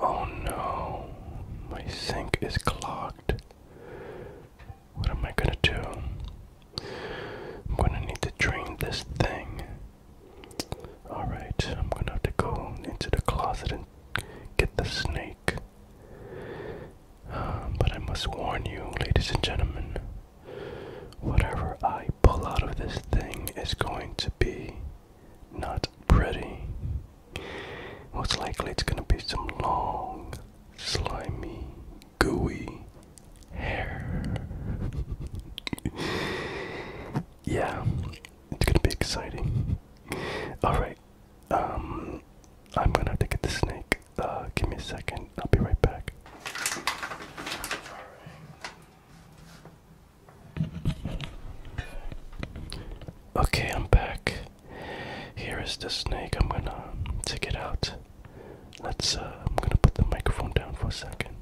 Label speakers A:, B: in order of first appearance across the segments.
A: Oh no, my sink is clogged. What am I gonna do? I'm gonna need to drain this thing. Alright, I'm gonna have to go into the closet and get the snake. Uh, but I must warn you, ladies and gentlemen, Whatever I pull out of this thing is going to be not pretty. Most likely it's going to be some long, slimy, gooey hair. yeah, it's going to be exciting. Alright, um, I'm going to have to get the snake. Uh, give me a second. I'll be right back. Okay, I'm back. Here is the snake. I'm gonna take it out. Let's. Uh, I'm gonna put the microphone down for a second.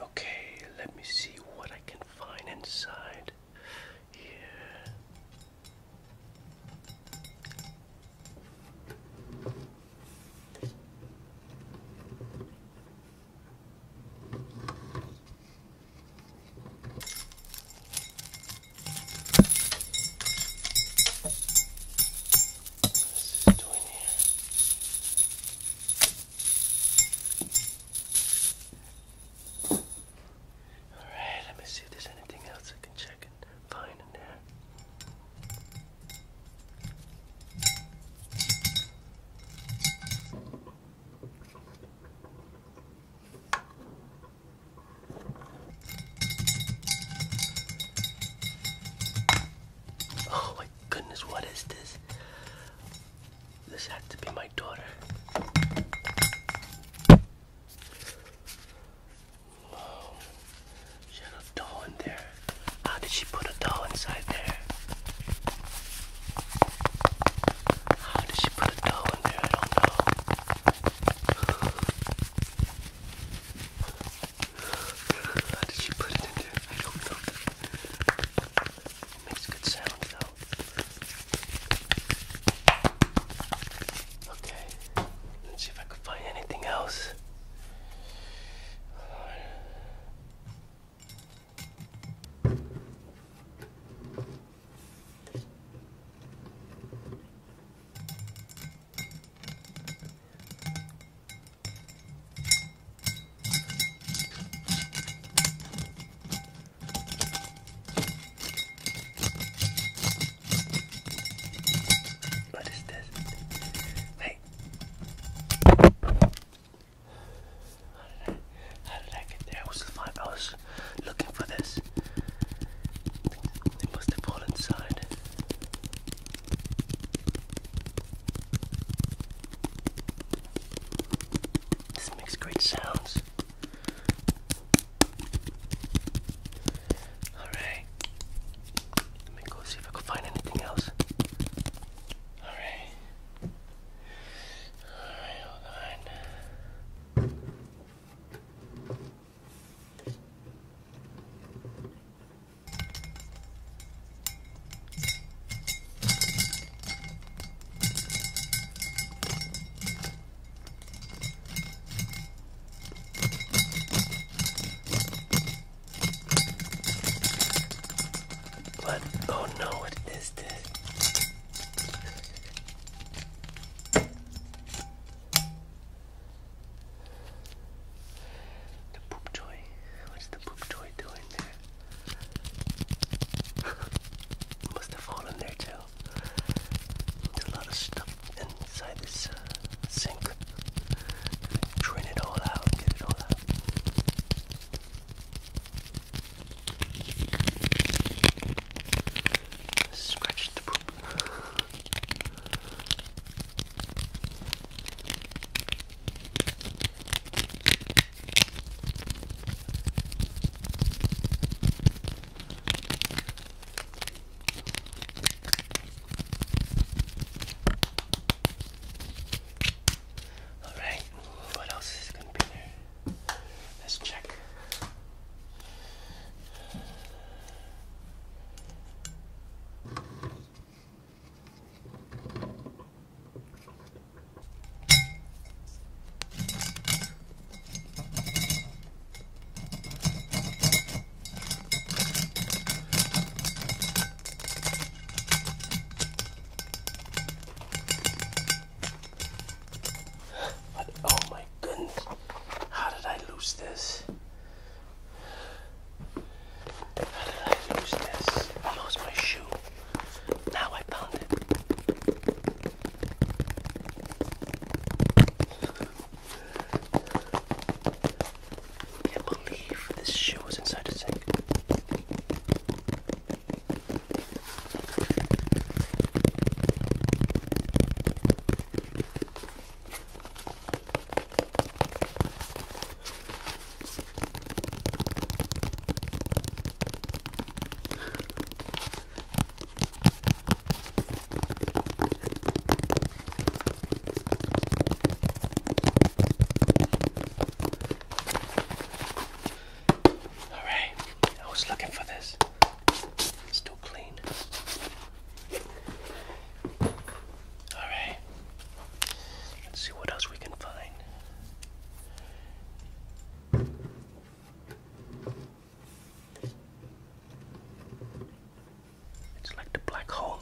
A: Okay, let me see what I can find inside here. What's this doing here? Alright, let me see if there's anything else I can check and find in there. Oh my goodness, what is this? This had to be my daughter. She had a doll in there. How did she put a doll inside there? How did she put a doll in there? I don't know. How did she put it in there? I don't know. makes good sound though. Okay. Let's see if I could find anything else. What is this? Wait. I, how did I get there? I I was looking for this. They must have fallen inside. This makes great sounds. Alright. Let me go see if I can find anything else. Alright. Alright, hold on. But oh no, what is this? The poop toy. What's the poop toy doing there? Must have fallen there too. There's a lot of stuff inside this uh, sink. Drain it all out, get it all out. Scratch touched the poop. Alright, what else is going to be there? Let's check oh my goodness, how did I lose this? How did I lose this? I lost my shoe. Now I found it. can't believe this shoe was inside the sink. Alright, I was looking for this. It's too clean. Alright. Let's see what else we can find. It's like the black hole.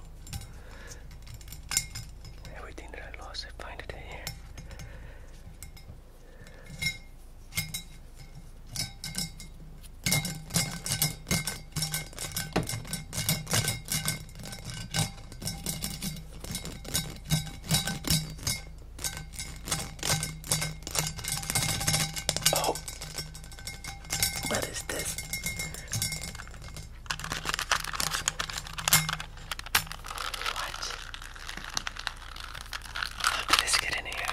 A: Everything that I lost, I find it in here. Oh, what is this? What? How did this get in here?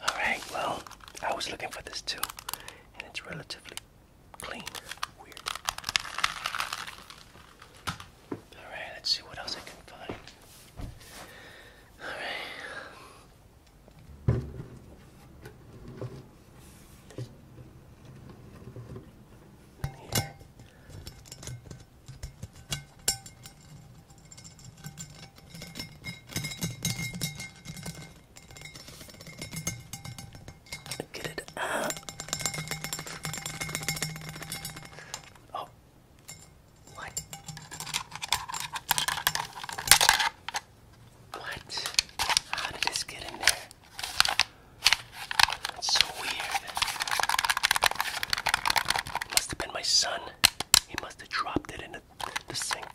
A: Alright, well, I was looking for this too, and it's relatively clean. Weird. Alright, let's see what else I can find. Alright. Here. Get it out. Oh. What? What? How did this get in there? That's so weird. Must have been my son. He must have dropped it into the sink.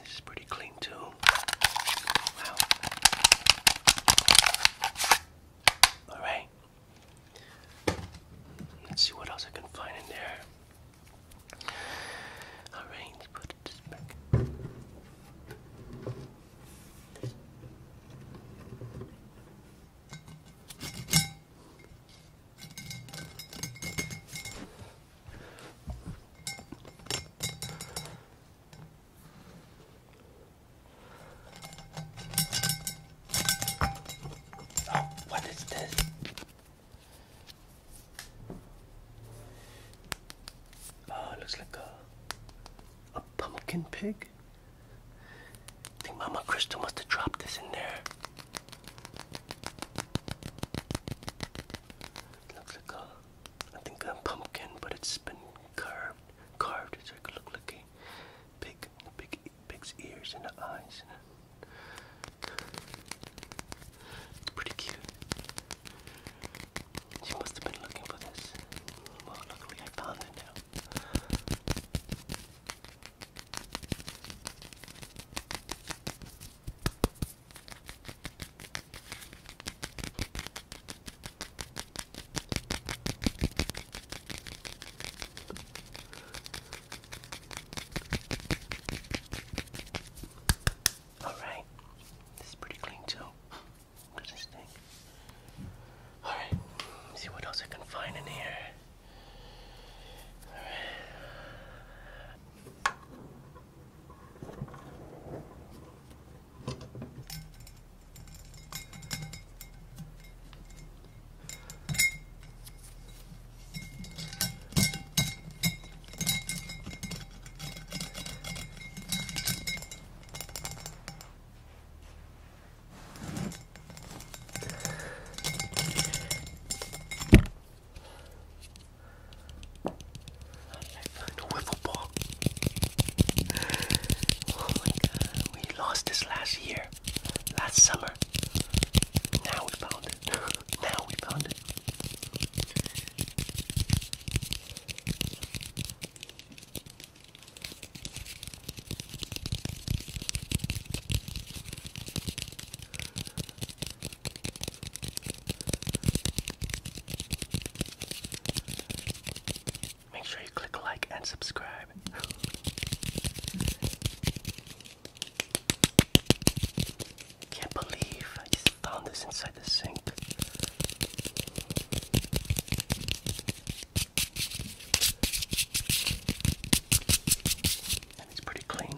A: This is pretty clean too. Wow. All right. Let's see what else I can find in there. Alright, put this back. Oh, what is this? Oh, looks like a, a pumpkin pig. I think Mama Crystal must have dropped this in there. It looks like a, I think a pumpkin, but it's been carved, carved. It's like look like pig, the pig, pig's ears and the eyes. And it's pretty cute. She must have been looking for this. Well, luckily I found it now. Alright. This is pretty clean too. What this think? Alright, see what else I can find in here. Alright. I found a wiffle ball. Oh my god, we lost this last year last summer. Now we found it. now we found it. Make sure you click like and subscribe. Can't believe I found this inside the sink. And it's pretty clean.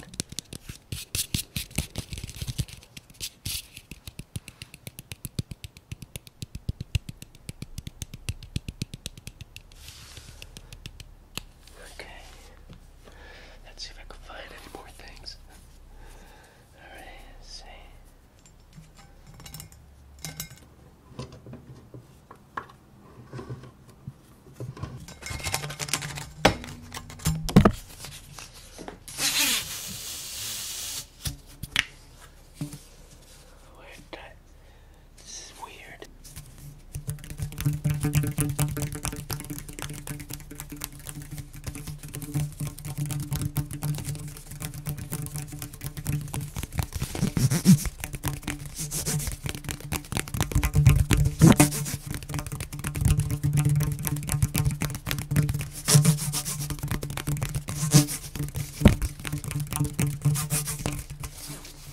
A: Okay. Let's see if I can find any more things. Alright, let's this is weird.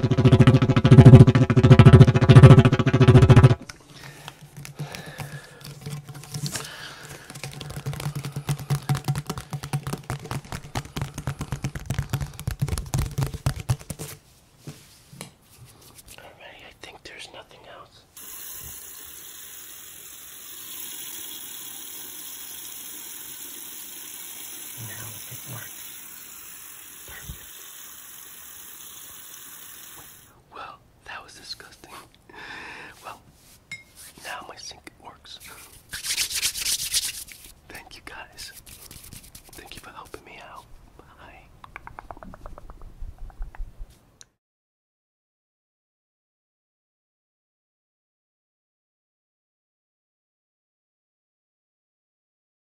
A: Alrighty, I think there's nothing else. Now it works. Perfect. Well, that was disgusting. Well, now my sink works. Thank you guys. Thank you for helping me out. Bye.